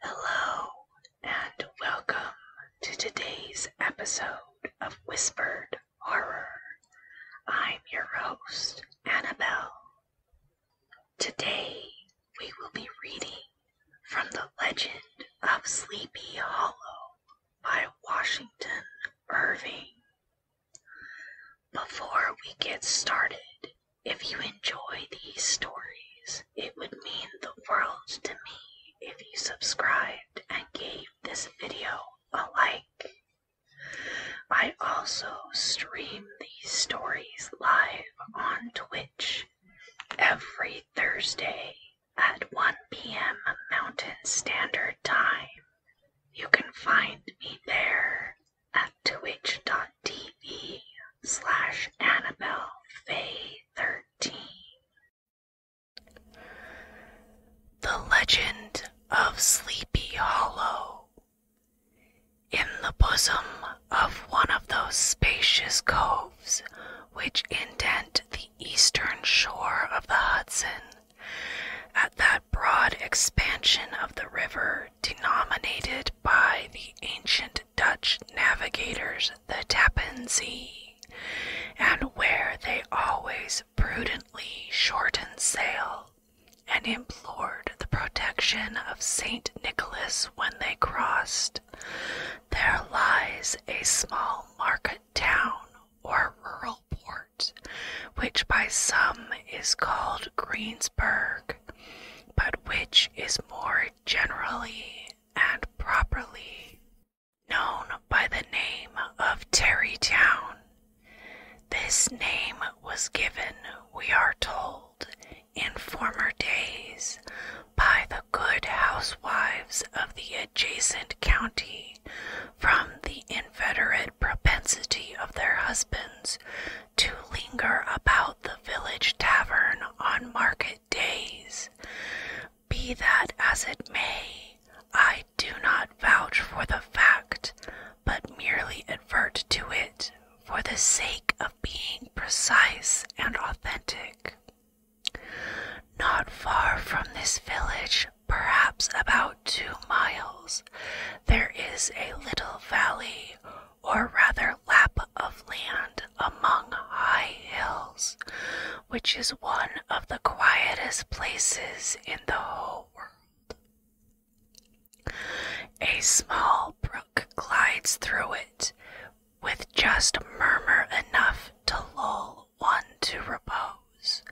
Hello, and welcome to today's episode of Whispered Horror. I'm your host, Annabelle. Today, we will be reading from The Legend of Sleepy Hollow by Washington Irving. Before we get started, if you enjoy these stories, it would mean the world to me if you subscribed and gave this video a like. I also stream these stories live on Twitch every Thursday at 1 p.m. Mountain Standard Time. You can find me there at twitch.tv slash AnnabelleFay13. The Legend of Sleepy Hollow. In the bosom of one of those spacious coves which indent the eastern shore of the Hudson, at that broad expansion of the river denominated by the ancient Dutch navigators the Tappan Sea, and where they always prudently shortened sail and implored the protection of Saint Nicholas when they crossed, there lies a small market town or rural port, which by some is called Greensburg, but which is more generally and properly known by the name of Terrytown. This name was given, we are told, in former days by the good housewives of the adjacent county from the inveterate propensity of their husbands to linger about the village tavern on market days. Be that as it may, I do not vouch for the fact, but merely advert to it for the sake of being precise and authentic. Not far from this village, perhaps about two miles, there is a little valley or rather lap of land among high hills, which is one of the quietest places in the whole world. A small brook glides through it with just murmur enough to lull one to repose,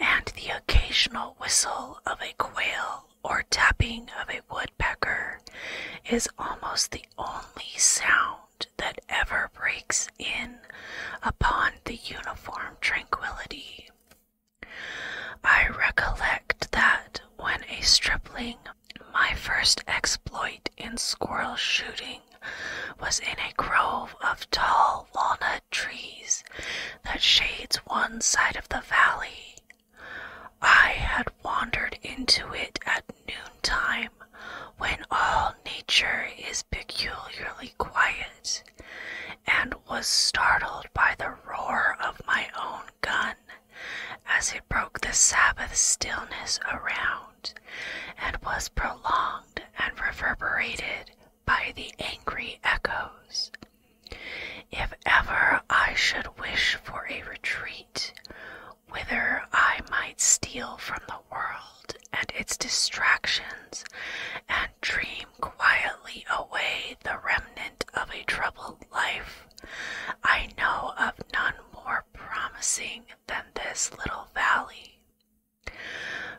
and the occasional whistle of a quail or tapping of a wood woodpecker is almost the only sound that ever breaks in upon the uniform tranquility. I recollect that when a stripling, my first exploit in squirrel shooting was in a grove of tall walnut trees that shades one side of the valley I had wandered into it at noontime, when all nature is peculiarly quiet, and was startled by the roar of my own gun as it broke the Sabbath stillness around, and was prolonged and reverberated by the angry echoes. If ever I should wish for a retreat, whither I might steal from the world and its distractions, and dream quietly away the remnant of a troubled life. I know of none more promising than this little valley.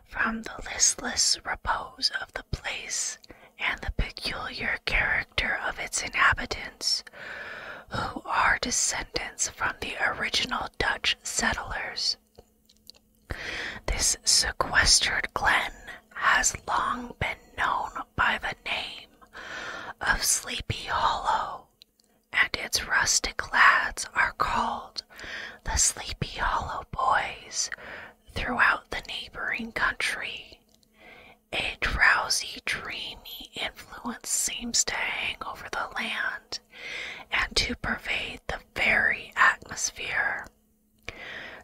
From the listless repose of the place and the peculiar character of its inhabitants, who are descendants from the original Dutch settlers. This sequestered glen has long been known by the name of Sleepy Hollow, and its rustic lads are called the Sleepy Hollow Boys throughout the neighboring country. A drowsy, dreamy influence seems to hang over the land and to pervade the very atmosphere.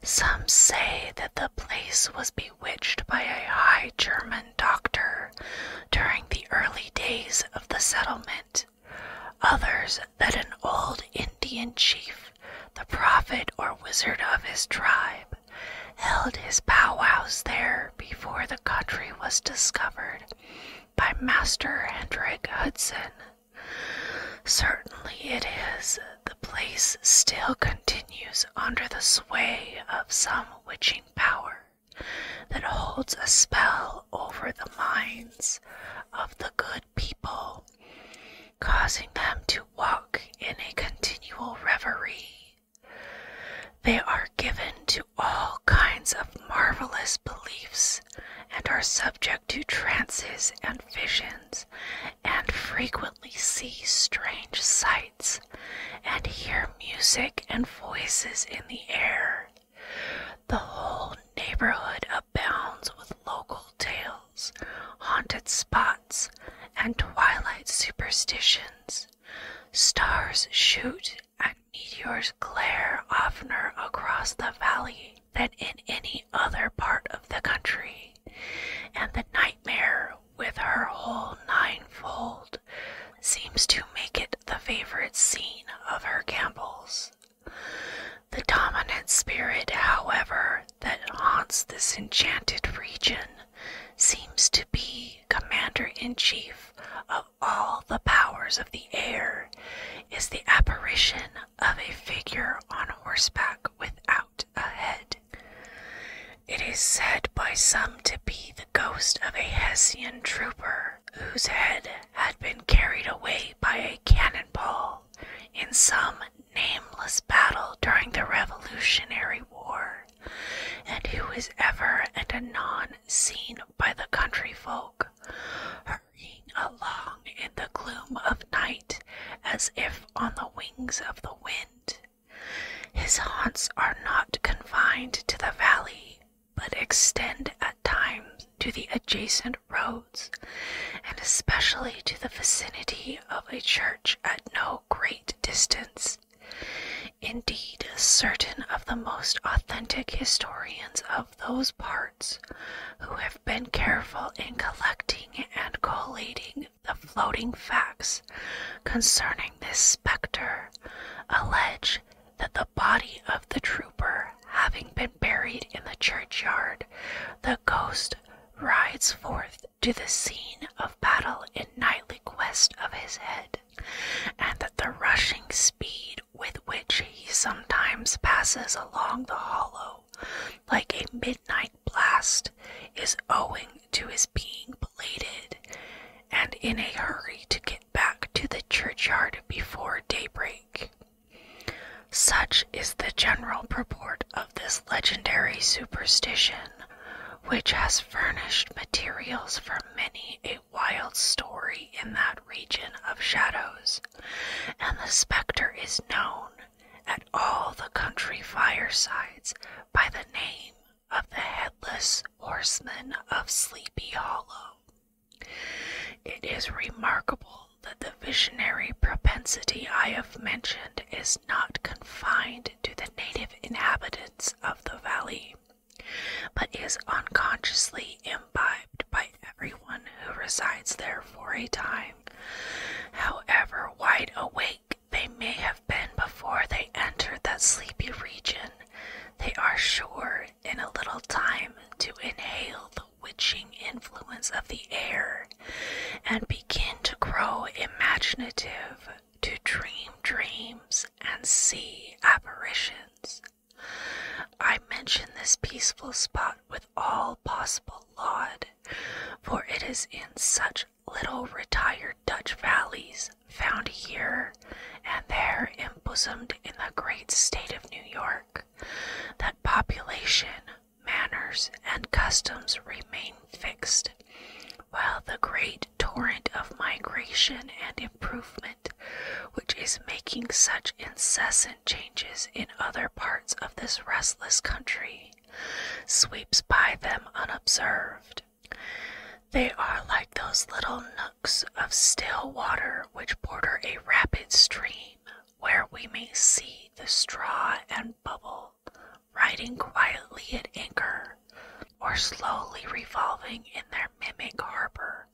Some say that the place was bewitched by a high German doctor during the early days of the settlement, others that an old Indian chief, the prophet or wizard of his tribe, held his powwows there before the country was discovered by Master Hendrik Hudson. Certainly it is, the place still continues under the sway of some witching power that holds a spell over the minds of the good people, causing them to walk in a continual reverie they are given to all kinds of marvelous beliefs and are subject to trances and visions and frequently see strange sights and hear music and voices in the air. The whole neighborhood abounds with local tales, haunted spots and twilight superstitions. Stars shoot and meteors glare oftener across the valley than in any other part of the country, and the nightmare with her whole ninefold seems to make it the favorite scene of her gambols. The dominant spirit, however, that haunts this enchanted region seems to be commander in chief of all the powers of the air, is the apparition of a figure on horseback without a head. It is said by some to be the ghost of a Hessian trooper whose head had been carried away by a cannonball in some nameless battle during the Revolutionary War and who is ever and anon seen by the country folk, hurrying along in the gloom of night as if on the wings of the wind. His haunts are not confined to the valley, but extend at times to the adjacent roads, and especially to the vicinity of a church at no great distance. Indeed, certain of the most authentic historians of those parts, who have been careful in collecting and collating the floating facts concerning this spectre, allege that the body of the trooper having been buried in the churchyard, the ghost rides forth to the scene of battle in nightly quest of his head, and that the rushing speed with which he sometimes passes along the hollow, like a midnight blast, is owing to his being belated, and in a hurry to get back to the churchyard before daybreak. Such is the general purport of this legendary superstition, which has furnished materials for many a wild story in that region of shadows, and the spectre is known at all the country firesides by the name of the Headless Horseman of Sleepy Hollow. It is remarkable that the visionary propensity I have mentioned is not confined to the native inhabitants of the valley, but is unconsciously imbibed by everyone who resides there for a time. However wide awake they may have been before they entered that sleepy region, they are sure in a little time to inhale the witching influence of the air and begin to grow imaginative to dream dreams and see apparitions. I mention this peaceful spot with all possible laud, for it is in such little retired Dutch valleys found here and there embosomed in the great state of New York that population, manners, and customs remain fixed, while the great torrent of migration and improvement which is making such incessant changes in other parts of this restless country sweeps by them unobserved. They are like those little nooks of still water which border a rapid stream, where we may see the straw and bubble riding quietly at anchor or slowly revolving in their mimic harbor,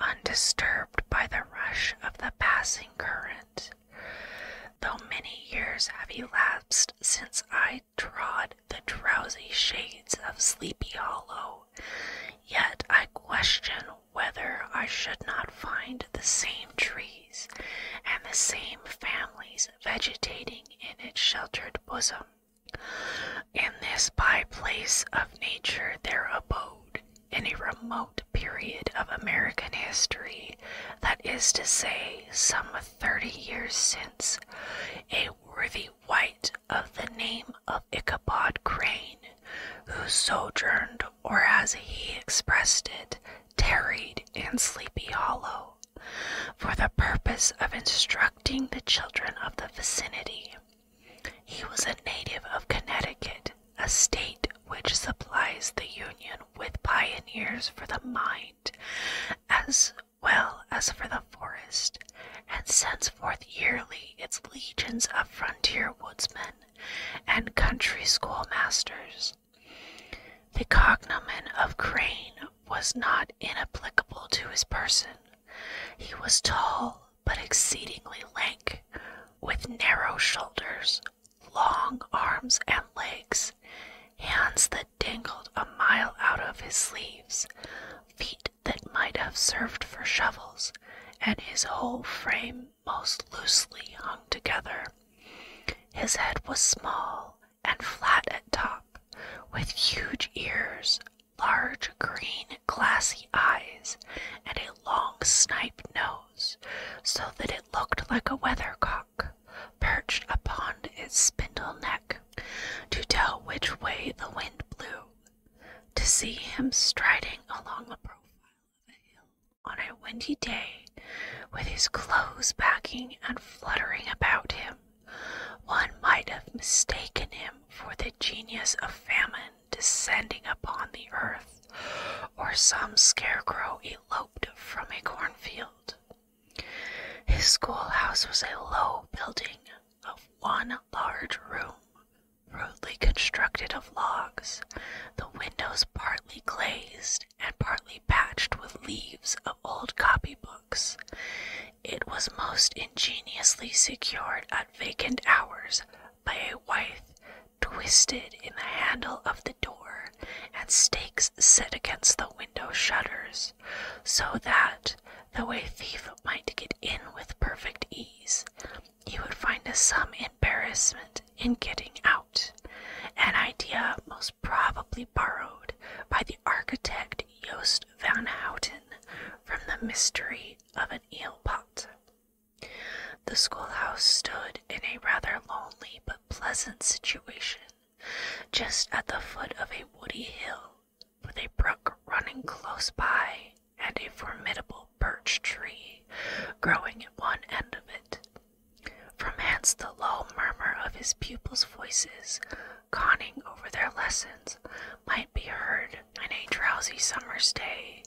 undisturbed by the rush of the passing current. Though many years have elapsed since I trod the drowsy shades of Sleepy Hollow, yet I question whether I should not find the same trees and the same families vegetating in its sheltered bosom. In this by place of nature, their abode, in a remote period of American history, that is to say, some thirty years since, a worthy white of the name of Ichabod Crane, who sojourned, or as he expressed it, tarried in Sleepy Hollow, for the purpose of instructing the children of the vicinity. He was a native of Connecticut, a state which supplies the Union with pioneers for the mind as well as for the forest, and sends forth yearly its legions of frontier woodsmen and country schoolmasters. The cognomen of Crane was not inapplicable to his person. He was tall but exceedingly lank, with narrow shoulders, long arms and legs, hands that dangled a mile out of his sleeves, feet that might have served for shovels, and his whole frame most loosely hung together. His head was small and flat at top, with huge ears, large green glassy eyes, and a long snipe nose, so that it looked like a weathercock perched upon its spindle neck to tell which way the wind blew. To see him striding along the profile of a hill on a windy day, with his clothes backing and fluttering about him, one might have mistaken him for the genius of famine descending upon the earth, or some scarecrow eloped from a cornfield. His schoolhouse was a low building of one large room, rudely constructed of logs, the windows partly glazed and partly patched with leaves of old copybooks, it was most ingeniously secured at vacant hours by a wife twisted in the handle of the door and stakes set against the window shutters, so that, though a thief might get in with perfect ease, he would find some embarrassment in getting out. An idea most probably borrowed by the architect Joost van Houten from the mystery of an eel pot. The schoolhouse stood in a rather lonely but pleasant situation, just at the foot of a woody hill, with a brook running close by and a formidable birch tree growing at one end of it. From hence the low murmur of his pupils' voices conning over their lessons might be heard on a drowsy summer's day,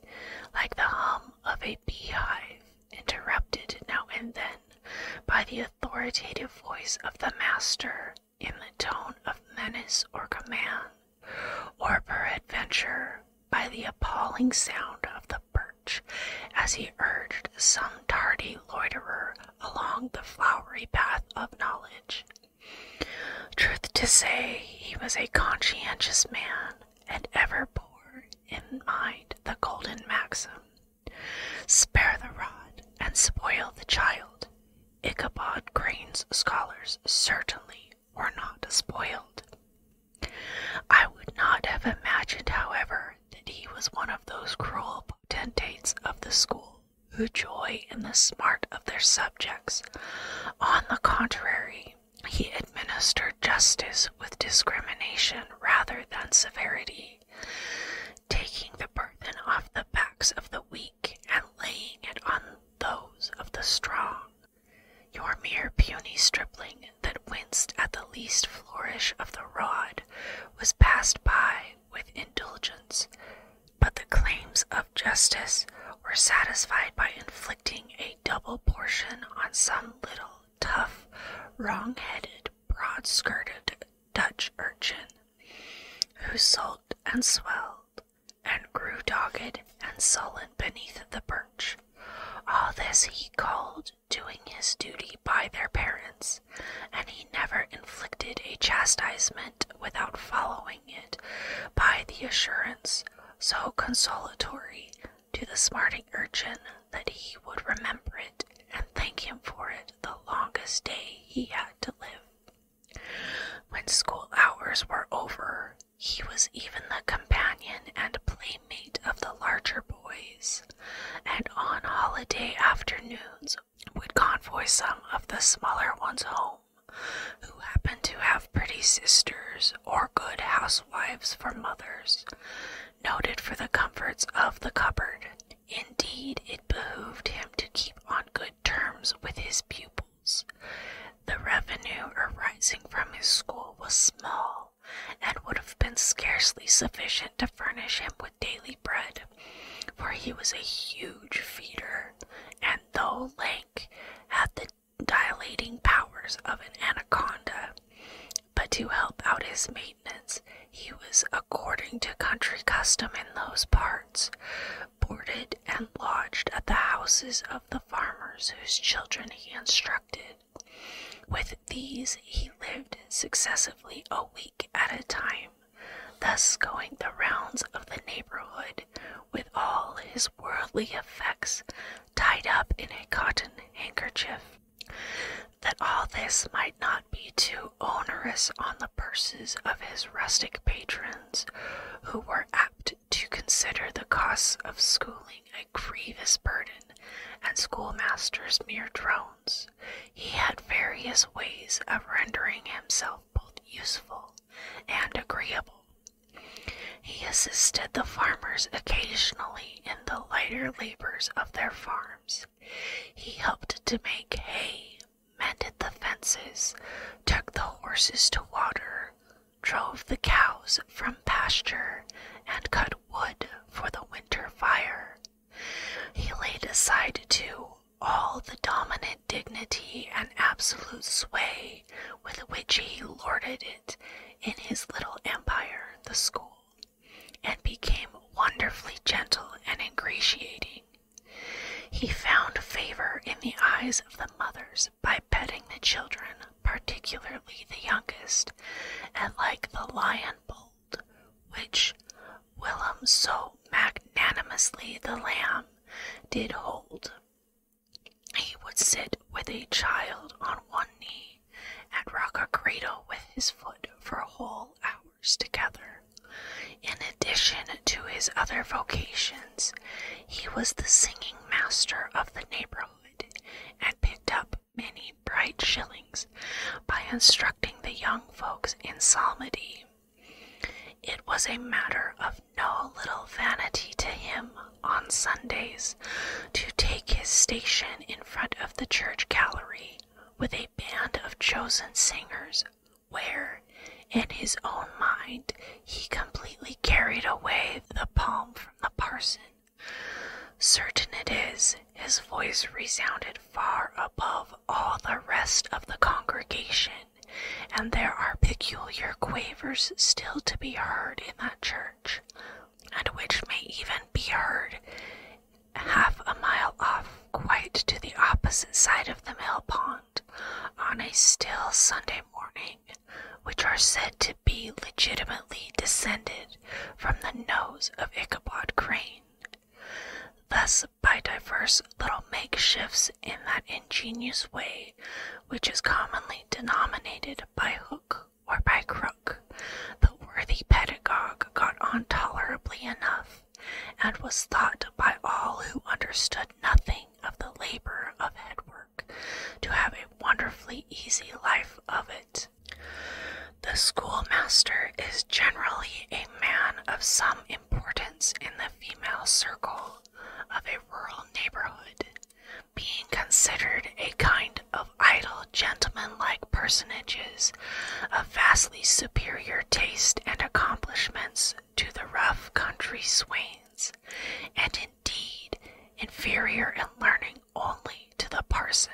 like the hum of a beehive, interrupted now and then by the authoritative voice of the master in the tone of menace or command, or peradventure by the appalling sound of the birch as he urged some tardy loiterer along the flowery path of knowledge. Truth to say, he was a conscientious man and ever bore in mind the golden maxim spare the rod and spoil the child. Ichabod Crane's scholars certainly were not spoiled. I would not have imagined, however, that he was one of those cruel potentates of the school who joy in the smart of their subjects. On the contrary, he administered justice with discrimination rather than severity, taking the burden off the backs of the weak and laying it on those of the strong. Your mere puny stripling that winced at the least flourish of the rod was passed by with indulgence, but the claims of justice were satisfied by inflicting a double portion on some little, tough, wrong headed, broad skirted Dutch urchin who sulked and swelled and grew dogged and sullen beneath the birch. All this he called doing his duty by their parents, and he never inflicted a chastisement without following it by the assurance, so consolatory to the smarting urchin, that he would remember it and thank him for it the longest day he had to live. When school hours were over, he was even the companion and playmate of the larger boys, and on holiday afternoons would convoy some of the smaller ones home who happened to have pretty sisters or good housewives for mothers, noted for the comforts of the cupboard. Indeed, it behooved him to keep on good terms with his pupils. The revenue arising from his school was small and would have been scarcely sufficient to furnish him with daily bread for he was a huge feeder, and though lank, had the dilating powers of an anaconda. But to help out his maintenance, he was, according to country custom in those parts, boarded and lodged at the houses of the farmers whose children he instructed. With these he lived successively a week at a time, thus going the rounds of the neighborhood with all his worldly effects tied up in a cotton handkerchief. That all this might not be too onerous on the purses of his rustic patrons, who were apt to consider the costs of schooling a grievous burden and schoolmasters mere drones he had various ways of rendering himself both useful and agreeable. He assisted the farmers occasionally in the lighter labors of their farms. He helped to make hay, mended the fences, took the horses to water, drove the cows from pasture, and cut wood for the winter fire. He laid aside, too, all the dominant dignity and absolute sway with which he lorded it in his little empire, the school, and became wonderfully gentle and ingratiating. He found favor in the eyes of the mothers by petting the children, particularly the youngest, and like the lion bull gold, which Willem so magnanimously the lamb did hold. He would sit with a child on one knee and rock a cradle with his foot for whole hours together. In addition to his other vocations, he was the singing master of the neighborhood and picked up many bright shillings by instructing the young folks in psalmody. It was a matter of no little vanity to him on Sundays to take his station in front of the church gallery with a band of chosen singers, where, in his own mind, he completely carried away the palm from the parson. Certain it is, his voice resounded far above all the rest of the congregation, and there are peculiar quavers still to be heard in that church, and which may even be heard half a mile off, quite to the opposite side of the mill pond, on a still Sunday morning, which are said to be legitimately descended from the nose of Ichabod Crane. Thus by diverse little makeshifts in that ingenious way which is commonly denominated by hook or by crook. The worthy pedagogue got on tolerably enough, and was thought by all who understood nothing of the labor of headwork to have a wonderfully easy life of it. The schoolmaster is generally a man of some importance in the female circle of a rural neighborhood, being considered a kind of idle gentleman-like personages of vastly superior taste and accomplishments to the rough country swains, and indeed inferior in learning only to the parson.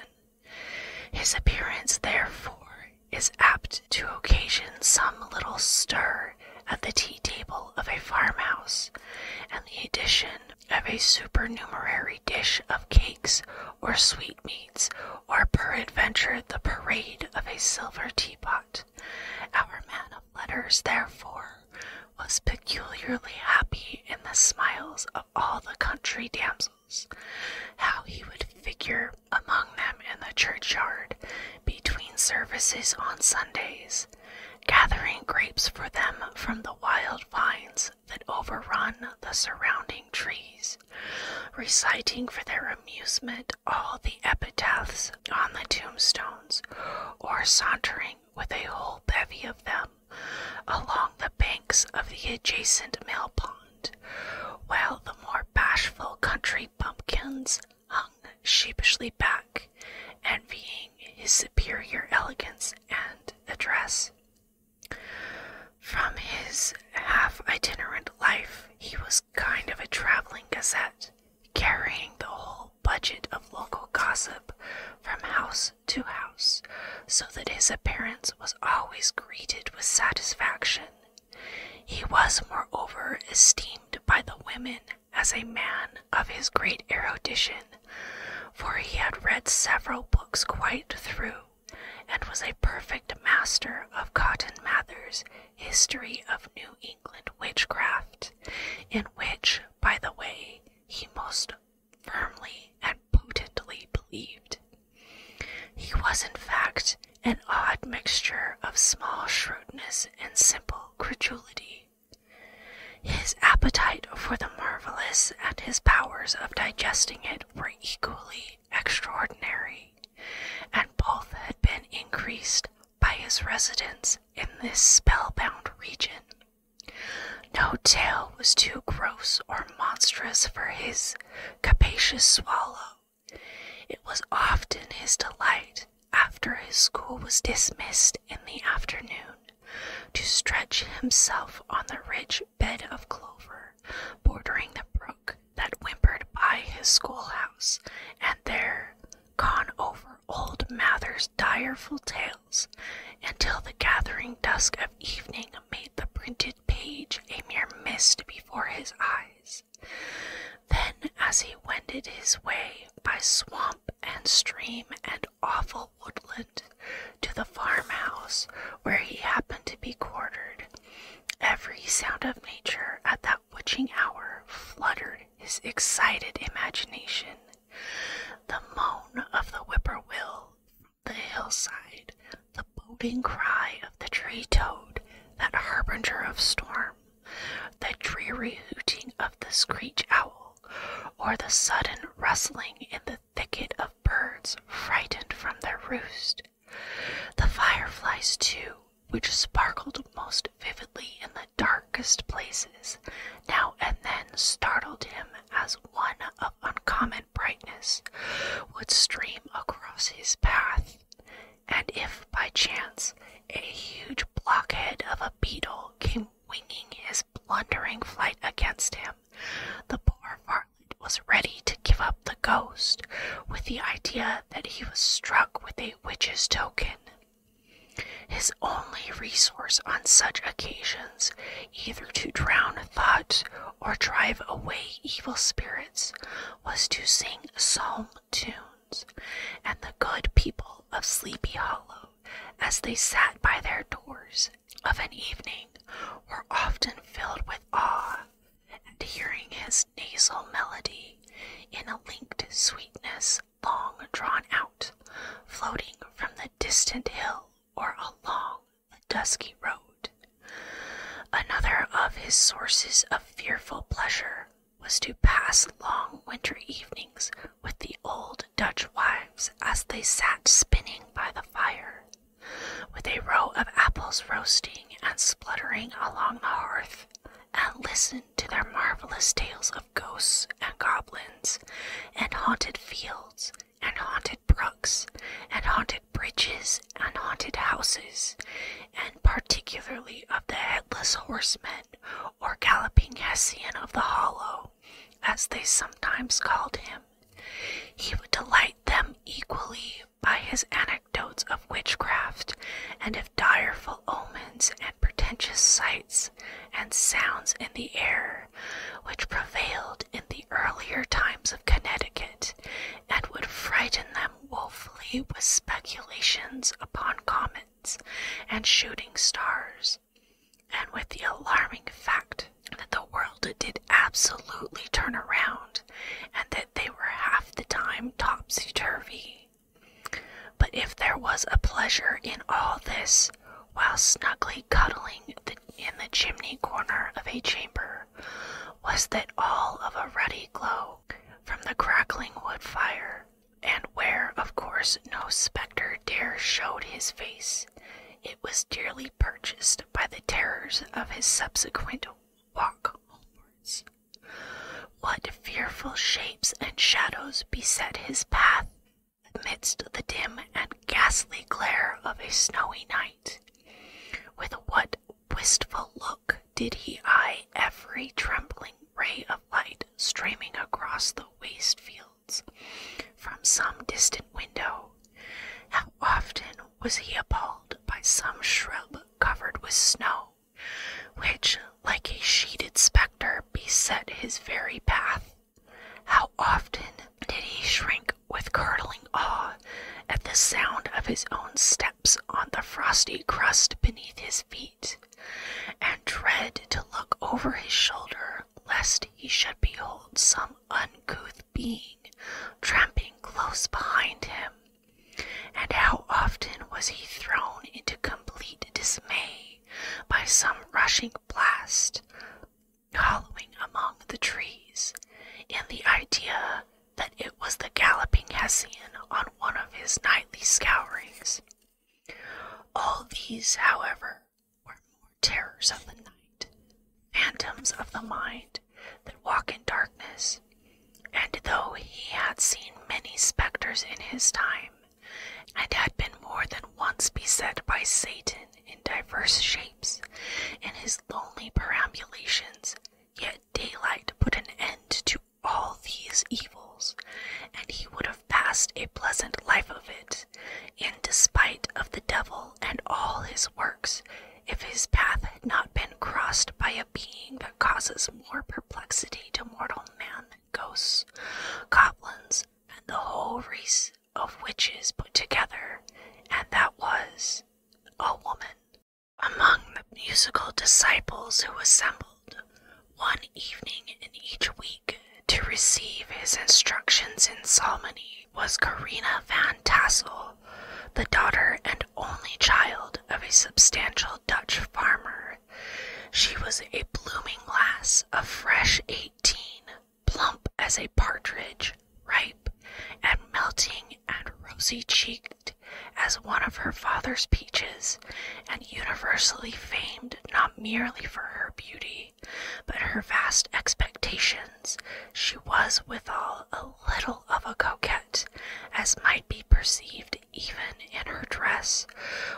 His appearance, therefore, is apt to occasion some little stir at the tea table of a farmhouse, and the addition of a supernumerary dish of cakes or sweetmeats, or peradventure the parade of a silver teapot. Our man of letters, therefore, was peculiarly happy in the smiles of all the country damsels. How he would figure among them in the churchyard between services on Sundays, gathering grapes for them from the wild vines that overrun the surrounding trees, reciting for their amusement all the epitaphs on the tombstones, or sauntering with a whole bevy of them along the banks of the adjacent mill pond, while the more bashful country bumpkins hung sheepishly back, envying his superior elegance and address. From his half itinerant life, he was kind of a traveling gazette, carrying the whole budget of local gossip from house to house, so that his appearance was always greeted with satisfaction he was, moreover, esteemed by the women as a man of his great erudition, for he had read several books quite through, and was a perfect master of Cotton Mather's History of New England Witchcraft, in which, by the way, he most firmly and potently believed. He was, in fact, an odd mixture of small shrewdness and simple credulity. His appetite for the marvelous and his powers of digesting it were equally extraordinary, and both had been increased by his residence in this spellbound region. No tale was too gross or monstrous for his capacious swallow, it was often his delight, after his school was dismissed in the afternoon, to stretch himself on the rich bed of clover bordering the brook that whimpered by his schoolhouse, and there con over old Mather's direful tales until the gathering dusk of evening made the printed page a mere mist before his eyes. Then, as he wended his way by swamp and stream and awful woodland to the farmhouse where he happened to be quartered, every sound of nature at that witching hour fluttered his excited imagination. The moan of the whippoorwill, the hillside, the boding cry of the tree toad, that harbinger of storm, the dreary hooting of the screech owl, or the sudden rustling in the thicket of birds frightened from their roost. The fireflies, too, which sparkled most vividly in the darkest places, now and then startled him as one of uncommon brightness would stream across his path and if by chance a huge blockhead of a beetle came winging his blundering flight against him, the poor varlet was ready to give up the ghost with the idea that he was struck with a witch's token. His only resource on such occasions, either to drown thought or drive away evil spirits, was to sing psalm tunes, and the good people of Sleepy Hollow, as they sat by their doors of an evening, were often filled with awe at hearing his nasal melody in a linked sweetness long drawn out, floating from the distant hill or along the dusky road. Another of his sources of fearful pleasure was to pass long winter evenings with the old Dutch wives as they sat spinning by the fire, with a row of apples roasting and spluttering along the hearth, and listen to their marvelous tales of ghosts and goblins, and haunted fields, and haunted brooks, and haunted bridges and haunted houses, and particularly of the headless horseman or galloping Hessian of the Hollow, as they sometimes called him. He would delight them equally by his anecdotes of witchcraft and of direful omens and pretentious sights and sounds in the air which prevailed in the earlier times of Connecticut and would frighten them them woefully with speculations upon comets and shooting stars, and with the alarming fact that the world did absolutely turn around and that they were half the time topsy turvy. But if there was a pleasure in all this, while snugly cuddling in the chimney corner of a chamber, was that all of a ruddy glow from the crackling wood fire, and where, of course, no spectre dare show his face, it was dearly purchased by the terrors of his subsequent walk homewards. What fearful shapes and shadows beset his path amidst the dim and ghastly glare of a snowy night? With what wistful look did he eye every trembling ray of light streaming across the waste fields from some distant window. How often was he appalled by some shrub covered with snow, which, like a sheeted spectre, beset his very path? How often did he shrink with curdling awe at the sound of his own step? on the frosty crust beneath his feet, and dread to look over his shoulder lest he should behold some uncouth being tramping close behind him. And how often was he thrown into complete dismay by some rushing blast, hollowing among the trees, and the idea that it was the galloping Hessian on one of his nightly scourings. All these, however, were more terrors of the night, phantoms of the mind that walk in darkness, and though he had seen many spectres in his time, and had been more than once beset by Satan in divers shapes in his lonely perambulations, Yet daylight put an end to all these evils, and he would have passed a pleasant life of it, in despite of the devil and all his works, if his path had not been crossed by a being that causes more perplexity to mortal man than ghosts, goblins, and the whole race of witches put together, and that was a woman among the musical disciples who assembled one evening in each week to receive his instructions in psalmody was Karina van Tassel, the daughter and only child of a substantial Dutch farmer. She was a blooming lass of fresh eighteen, plump as a partridge, ripe and melting and rosy cheeked as one of her father's peaches and universally famed not merely for her beauty, but her vast expectations, she was withal a little of a coquette, as might be perceived even in her dress,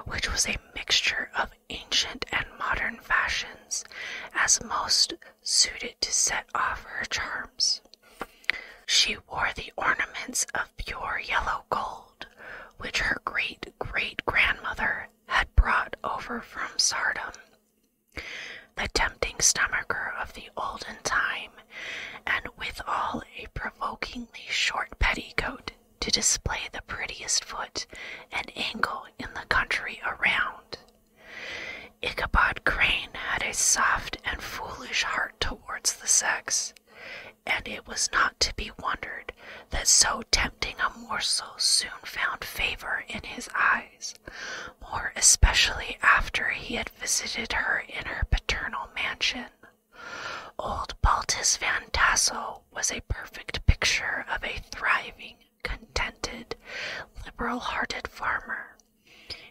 which was a mixture of ancient and modern fashions, as most suited to set off her charms. She wore the ornaments of pure yellow gold, which her great great grandmother had brought over from Sardom, the tempting stomacher of the olden time, and withal a provokingly short petticoat to display the prettiest foot and ankle in the country around. Ichabod Crane had a soft and foolish heart towards the sex, and it was not to be wondered that so tempting a morsel soon found favor in his eyes, more especially after he had visited her in her paternal mansion. Old Baltus Van Tassel was a perfect picture of a thriving, contented, liberal hearted farmer.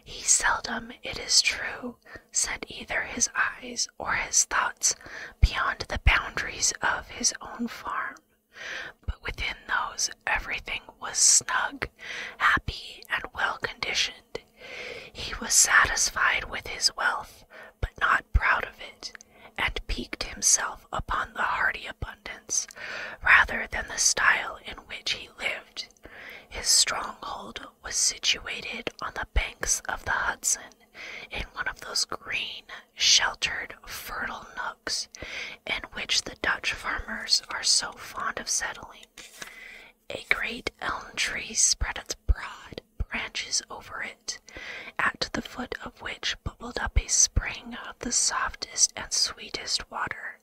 He seldom, it is true, set either his eyes or his thoughts beyond the boundaries of his own farm, but within those everything was snug, happy, and well conditioned. He was satisfied with his wealth, but not proud of it, and piqued himself upon the hearty abundance rather than the style in which he lived. His stronghold was situated on the banks of the Hudson in one of those green, sheltered, fertile nooks in which the Dutch farmers are so fond of settling. A great elm tree spread its broad branches over it, at the foot of which bubbled up a spring of the softest and sweetest water,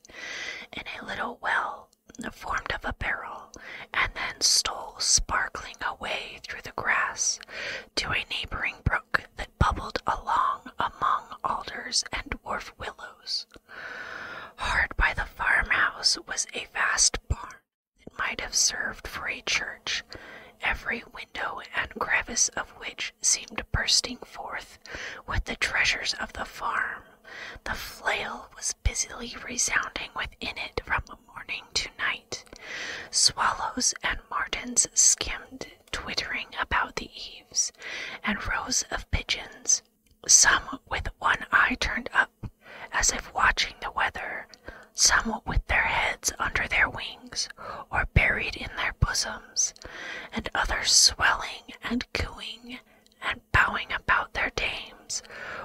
in a little well formed of a barrel and then stole sparkling away through the grass to a neighboring brook that bubbled along among alders and dwarf willows. Hard by the farmhouse was a vast barn that might have served for a church, every window and crevice of which seemed bursting forth with the treasures of the farm. The flail was busily resounding within it from morning to night. Swallows and martins skimmed, twittering about the eaves, and rows of pigeons, some with one eye turned up, as if watching the weather, some with their heads under their wings or buried in their bosoms, and others swelling and cooing and bowing about their dames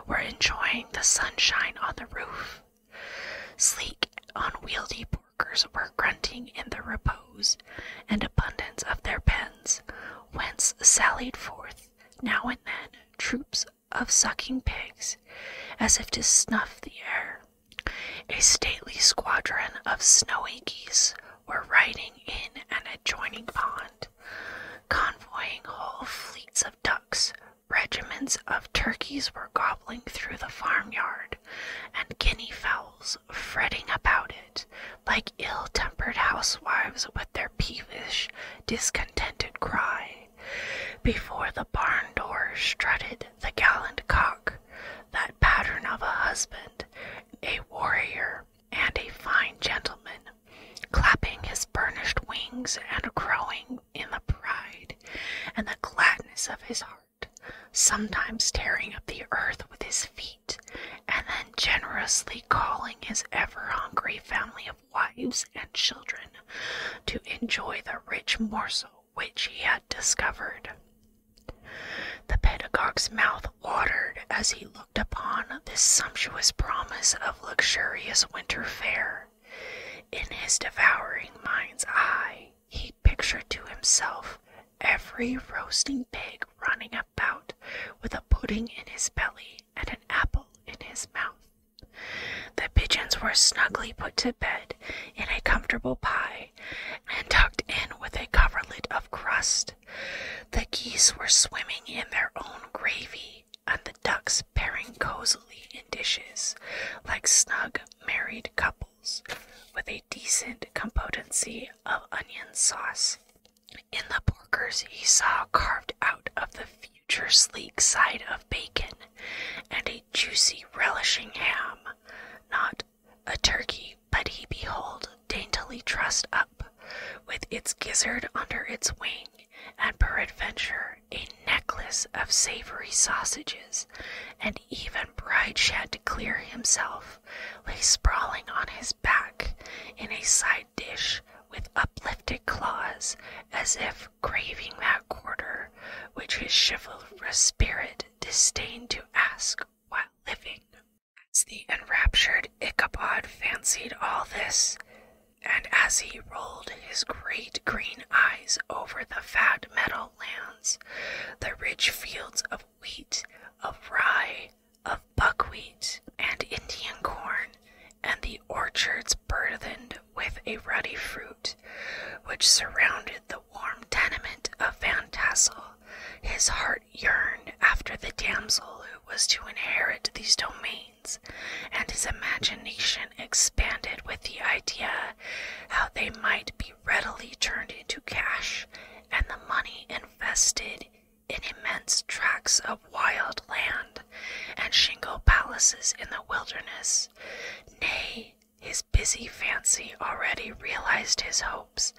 were enjoying the sunshine on the roof. Sleek, unwieldy porkers were grunting in the repose and abundance of their pens, whence sallied forth now and then troops of sucking pigs, as if to snuff the air. A stately squadron of snowy geese were riding in an adjoining pond, convoying whole fleets of ducks. Regiments of turkeys were gobbling through the farmyard, and guinea fowls fretting about it, like ill tempered housewives with their peevish, discontented cry. Before the barn door strutted the gallant cock, that pattern of a husband, a warrior, and a fine gentleman clapping his burnished wings and crowing in the pride and the gladness of his heart, sometimes tearing up the earth with his feet, and then generously calling his ever hungry family of wives and children to enjoy the rich morsel which he had discovered. The pedagogue's mouth ordered as he looked upon this sumptuous promise of luxurious winter fare. In his devouring mind's eye, he pictured to himself every roasting pig running about with a pudding in his belly and an apple in his mouth. The pigeons were snugly put to bed in a comfortable pie and tucked in with a coverlet of crust the geese were swimming in their own gravy, and the ducks pairing cozily in dishes like snug married couples, with a decent competency of onion sauce. In the porkers, he saw carved out of the future sleek side of bacon and a juicy relishing ham, not a turkey, but he behold daintily trussed up, with its gizzard under its wing, and peradventure a necklace of savory sausages, and even bright, Shad to clear himself lay sprawling on his back in a side dish with uplifted claws, as if craving that quarter which his chivalrous spirit disdained to ask while living. As the enraptured Ichabod fancied all this, and as he rolled his great green eyes over the fat meadow lands, the rich fields of wheat, of rye, of buckwheat, and Indian corn, and the orchards burdened with a ruddy fruit, which surrounded the warm tenement of Van Tassel, his heart yearned after the damsel who was to inherit these domains, and his imagination expanded with the idea how they might be readily turned into cash and the money invested in immense tracts of wild land and shingle palaces in the wilderness. Nay, his busy fancy already realized his hopes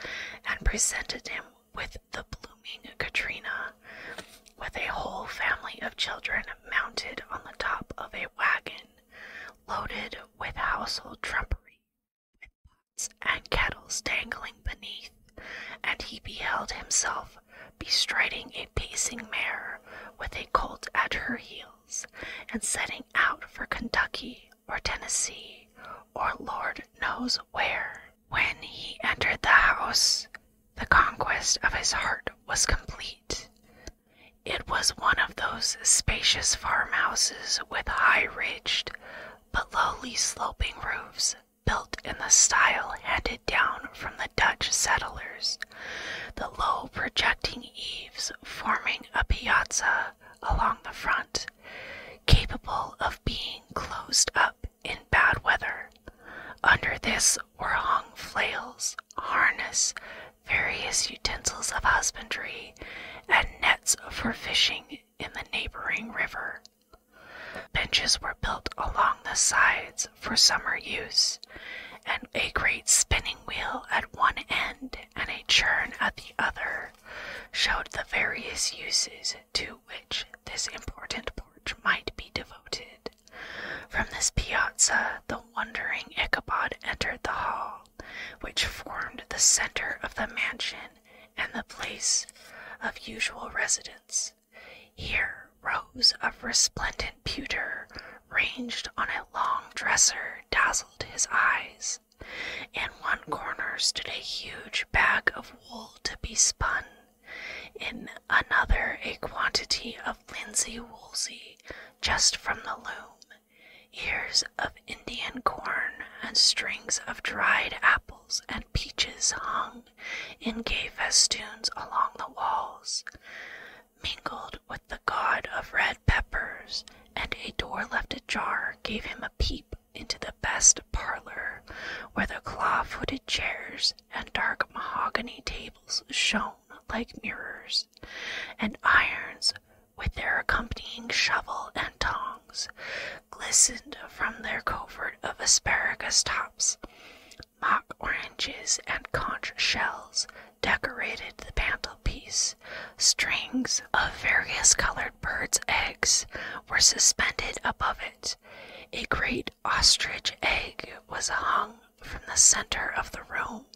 and presented him with the blooming Katrina, with a whole family of children mounted on the top of a wagon loaded with household trumpery, with pots and kettles dangling beneath, and he beheld himself bestriding a pacing mare with a colt at her heels, and setting out for Kentucky or Tennessee or Lord knows where. When he entered the house, the conquest of his heart was complete. It was one of those spacious farmhouses with high ridged but lowly sloping roofs built in the style handed down from the Dutch settlers, the low projecting eaves forming a piazza along the front, capable of being closed up in bad weather under this were hung flails, harness, various utensils of husbandry, and nets for fishing in the neighboring river. Benches were built along the sides for summer use, and a great spinning wheel at one end and a churn at the other showed the various uses to which this important porch might be devoted. From this piazza, the wondering Ichabod entered the hall, which formed the center of the mansion and the place of usual residence. Here, rows of resplendent pewter ranged on a long dresser dazzled his eyes. In one corner stood a huge bag of wool to be spun, in another a quantity of linsey woolsey just from the loom, ears of Indian corn, and strings of dried apples and peaches hung in gay festoons along the walls, mingled with the god of red peppers, and a door left ajar gave him a peep into the best parlor where the claw-footed chairs and dark mahogany tables shone like mirrors, and irons, with their accompanying shovel and tongs, glistened from their covert of asparagus tops. Mock oranges and conch shells decorated the mantelpiece. Strings of various colored birds' eggs were suspended above it. A great ostrich egg was hung from the center of the room,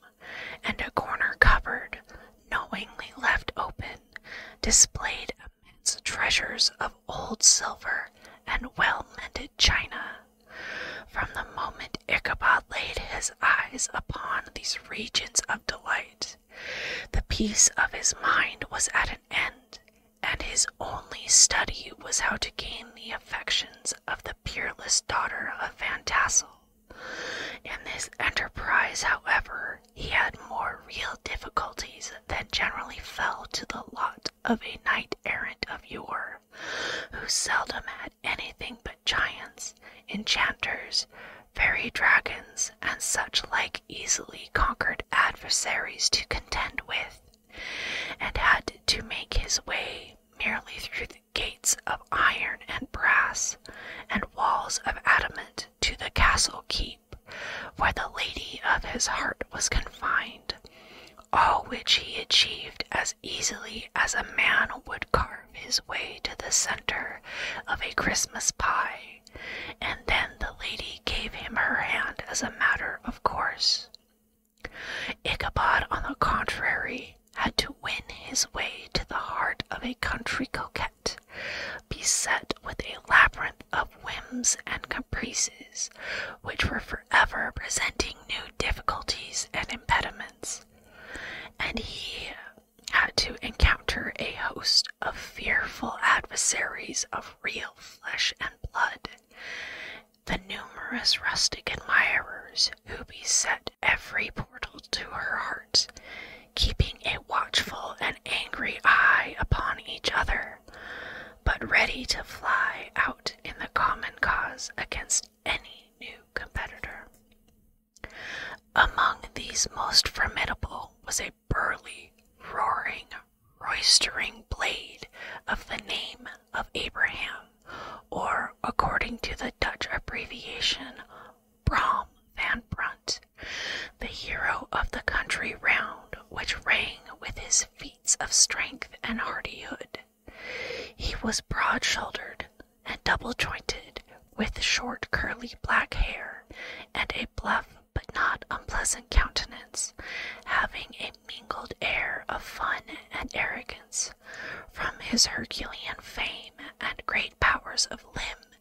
and a corner cupboard, knowingly left open, displayed amidst treasures of old silver and well mended china. From the moment Ichabod laid his eyes upon these regions of delight, the peace of his mind was at an end, and his only study was how to gain the affections of the peerless daughter of Van Tassel. In this enterprise, however, he had more real difficulties than generally fell to the lot of a knight errant of yore, who seldom had anything but giants, enchanters, fairy dragons, and such like easily conquered adversaries to contend with and had to make his way merely through gates of iron and brass and walls of adamant to the castle keep where the lady of his heart was confined, all which he achieved as easily as a man would carve his way to the center of a Christmas pie, and then the lady gave him her hand as a matter of course. Ichabod, on the contrary, had to win his way to the heart of a country coquette, beset with a labyrinth of whims and caprices, which were forever presenting new difficulties and impediments, and he had to encounter a host of fearful adversaries of real flesh and blood the numerous rustic admirers who beset every portal to her heart, keeping a watchful and angry eye upon each other, but ready to fly out in the common cause against any new competitor. Among these most formidable was a burly, roaring roistering blade of the name of Abraham, or according to the Dutch abbreviation, Brom van Brunt, the hero of the country round, which rang with his feats of strength and hardihood. He was broad shouldered and double jointed, with short curly black hair and a bluff but not unpleasant countenance, having a mingled air of fun and arrogance. From his Herculean fame and great powers of limb,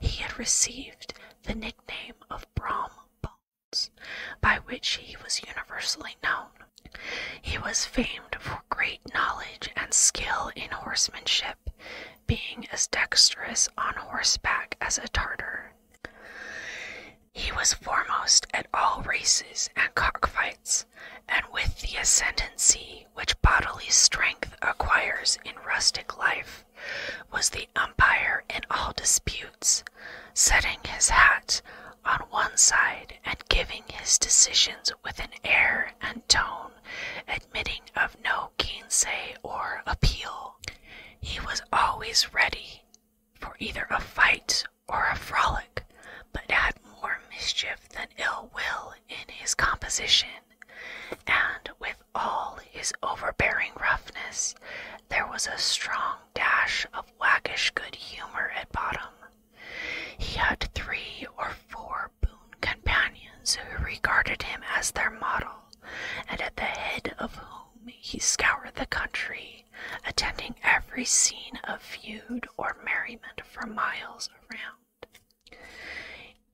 he had received the nickname of Brom Bones, by which he was universally known. He was famed for great knowledge and skill in horsemanship, being as dexterous on horseback as a Tartar. He was foremost at all races and cockfights, and with the ascendancy which bodily strength acquires in rustic life, was the umpire in all disputes, setting his hat on one side and giving his decisions with an air and tone admitting of no gainsay or appeal. He was always ready for either a fight or a frolic, but had more mischief than ill will in his composition, and with all his overbearing roughness, there was a strong dash of waggish good humor at bottom. He had three or four boon companions who regarded him as their model, and at the head of whom he scoured the country, attending every scene of feud or merriment for miles around.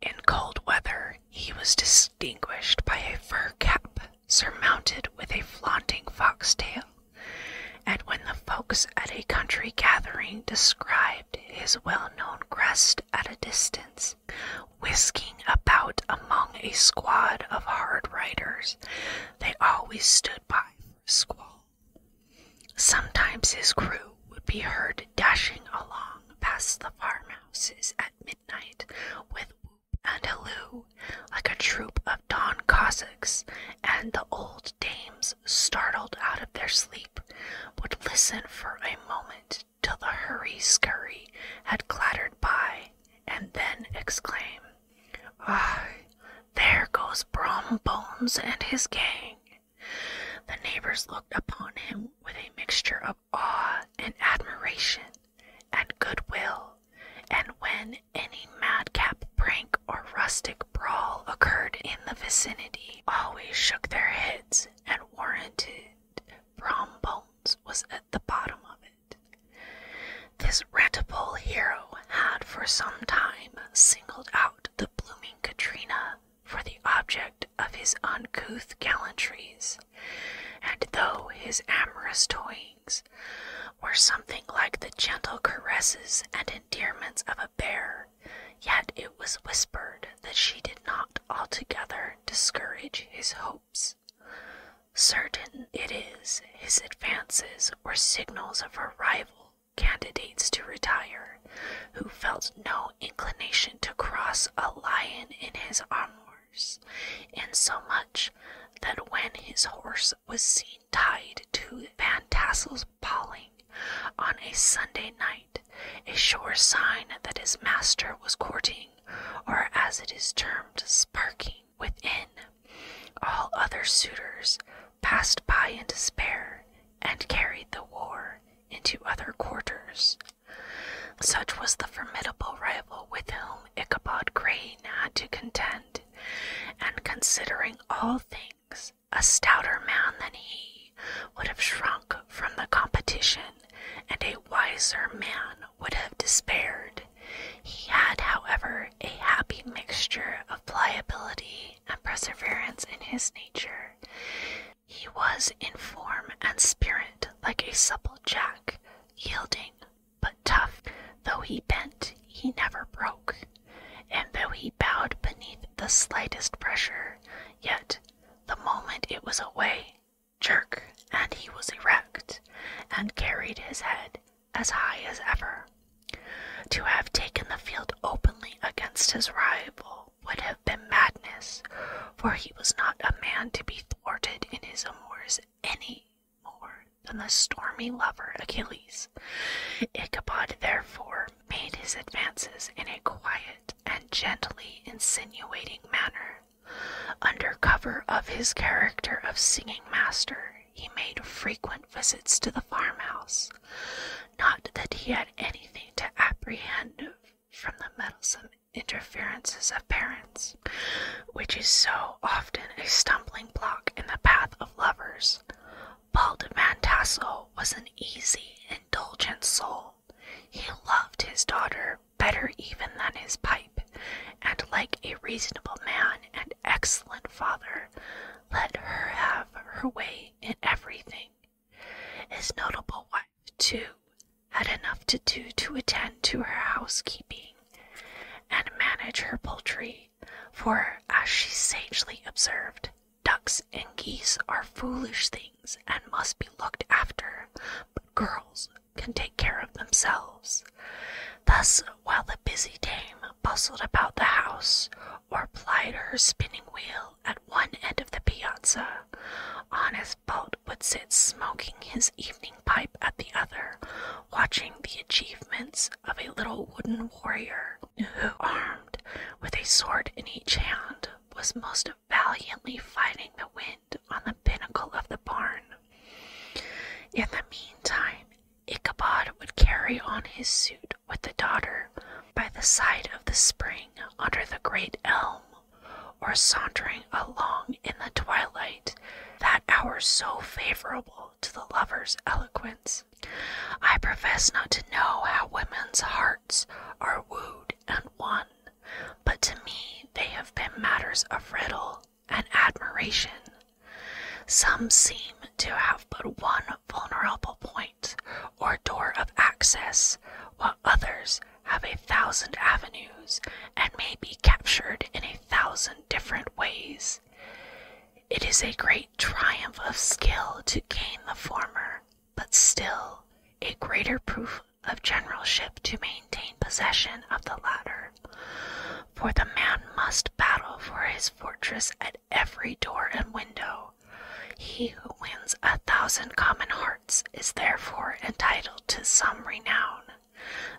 In cold weather, he was distinguished by a fur cap surmounted with a flaunting fox tail, and when the folks at a country gathering described his well known crest at a distance, whisking about among a squad of hard riders, they always stood by for squall. Sometimes his crew would be heard dashing along past the farmhouses at midnight with whoop and halloo, like a troop of Don Cossacks, and the old dames, startled out of their sleep, would listen for a moment till the hurry scurry had clattered by, and then exclaim, why, ah, there goes Brom Bones and his gang. The neighbors looked upon him with a mixture of awe and admiration and goodwill, and when any madcap prank or rustic brawl occurred in the vicinity, always shook their heads and warranted Brom Bones was at the bottom of it. This retable hero had for some time singled out the blooming Katrina for the object of his uncouth gallantries, and though his amorous toyings were something like the gentle caresses and endearments of a bear, yet it was whispered that she did not altogether discourage his hopes. Certain it is his advances were signals of her rival candidates to retire, who felt no inclination to cross a lion in his armours. Insomuch that when his horse was seen tied to Van Tassel's paling on a Sunday night, a sure sign that his master was courting, or as it is termed, sparking, within. All other suitors passed by in despair and carried the war into other quarters. Such was the formidable rival with whom Ichabod Crane had to contend, and considering all things, a stouter man than he would have shrunk from the competition, and a wiser man would have despaired. He had, however, a happy mixture of pliability and perseverance in his nature. He was in form and spirit like a supple jack, yielding but tough. Though he bent, he never broke, and though he bowed beneath the slightest pressure, yet the moment it was away, jerk, and he was erect, and carried his head as high as ever. To have taken the field openly against his rival would have been madness, for he was not a man to be thwarted in his amours any more than the stormy lover Achilles. Ichabod therefore made his advances in a quiet and gently insinuating manner under cover of his character of singing master, he made frequent visits to the farmhouse. Not that he had anything to apprehend from the meddlesome interferences of parents, which is so often a stumbling block in the path of lovers. Bald man Tasso was an easy, indulgent soul. He loved his daughter better even than his pipe, and like a reasonable man, and excellent father, let her have her way in everything. His notable wife, too, had enough to do to attend to her housekeeping and manage her poultry, for, as she sagely observed, ducks and geese are foolish things and must be looked after, but girls can take care of themselves. Thus, while the busy dame bustled about the house or plied her spinning wheel at one end of the piazza, honest Bolt would sit smoking his evening pipe at the other, watching the achievements of a little wooden warrior who, armed with a sword in each hand, was most valiantly fighting the wind on the pinnacle of the barn. In the meantime, Ichabod would carry on his suit with the daughter by the side of the spring under the great elm, or sauntering along in the twilight, that hour so favorable to the lover's eloquence. I profess not to know how women's hearts are wooed and won, but to me they have been matters of riddle and admiration. Some seem to have but one vulnerable point or door of access, while others have a thousand avenues and may be captured in a thousand different ways. It is a great triumph of skill to gain the former, but still a greater proof of generalship to maintain possession of the latter. For the man must battle for his fortress at every door and window. He who wins a thousand common hearts is therefore entitled to some renown,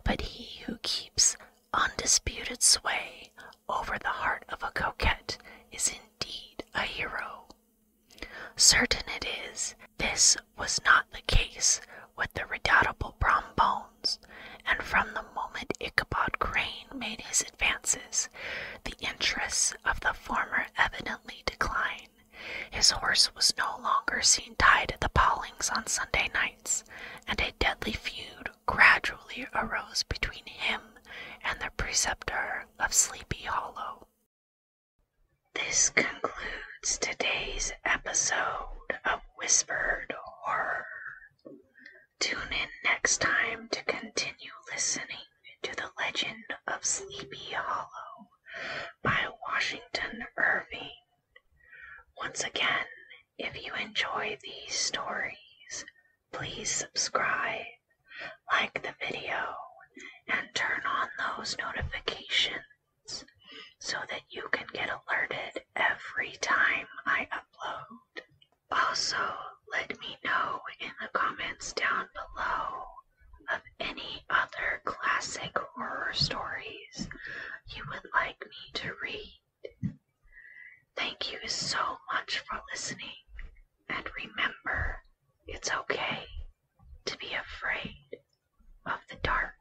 but he who keeps undisputed sway over the heart of a coquette is indeed a hero. Certain it is, this was not the case with the redoubtable Brombone and from the moment Ichabod Crane made his advances, the interests of the former evidently declined. His horse was no longer seen tied at the Pollings on Sunday nights, and a deadly feud gradually arose between him and the preceptor of Sleepy Hollow. This concludes today's episode of whispered horror. Tune in next time to continue listening to The Legend of Sleepy Hollow by Washington Irving. Once again, if you enjoy these stories, please subscribe, like the video, and turn on those notifications so that you can get alerted every time I upload. Also, let me know in the comments down below of any other classic horror stories you would like me to read. Thank you so much for listening, and remember, it's okay to be afraid of the dark.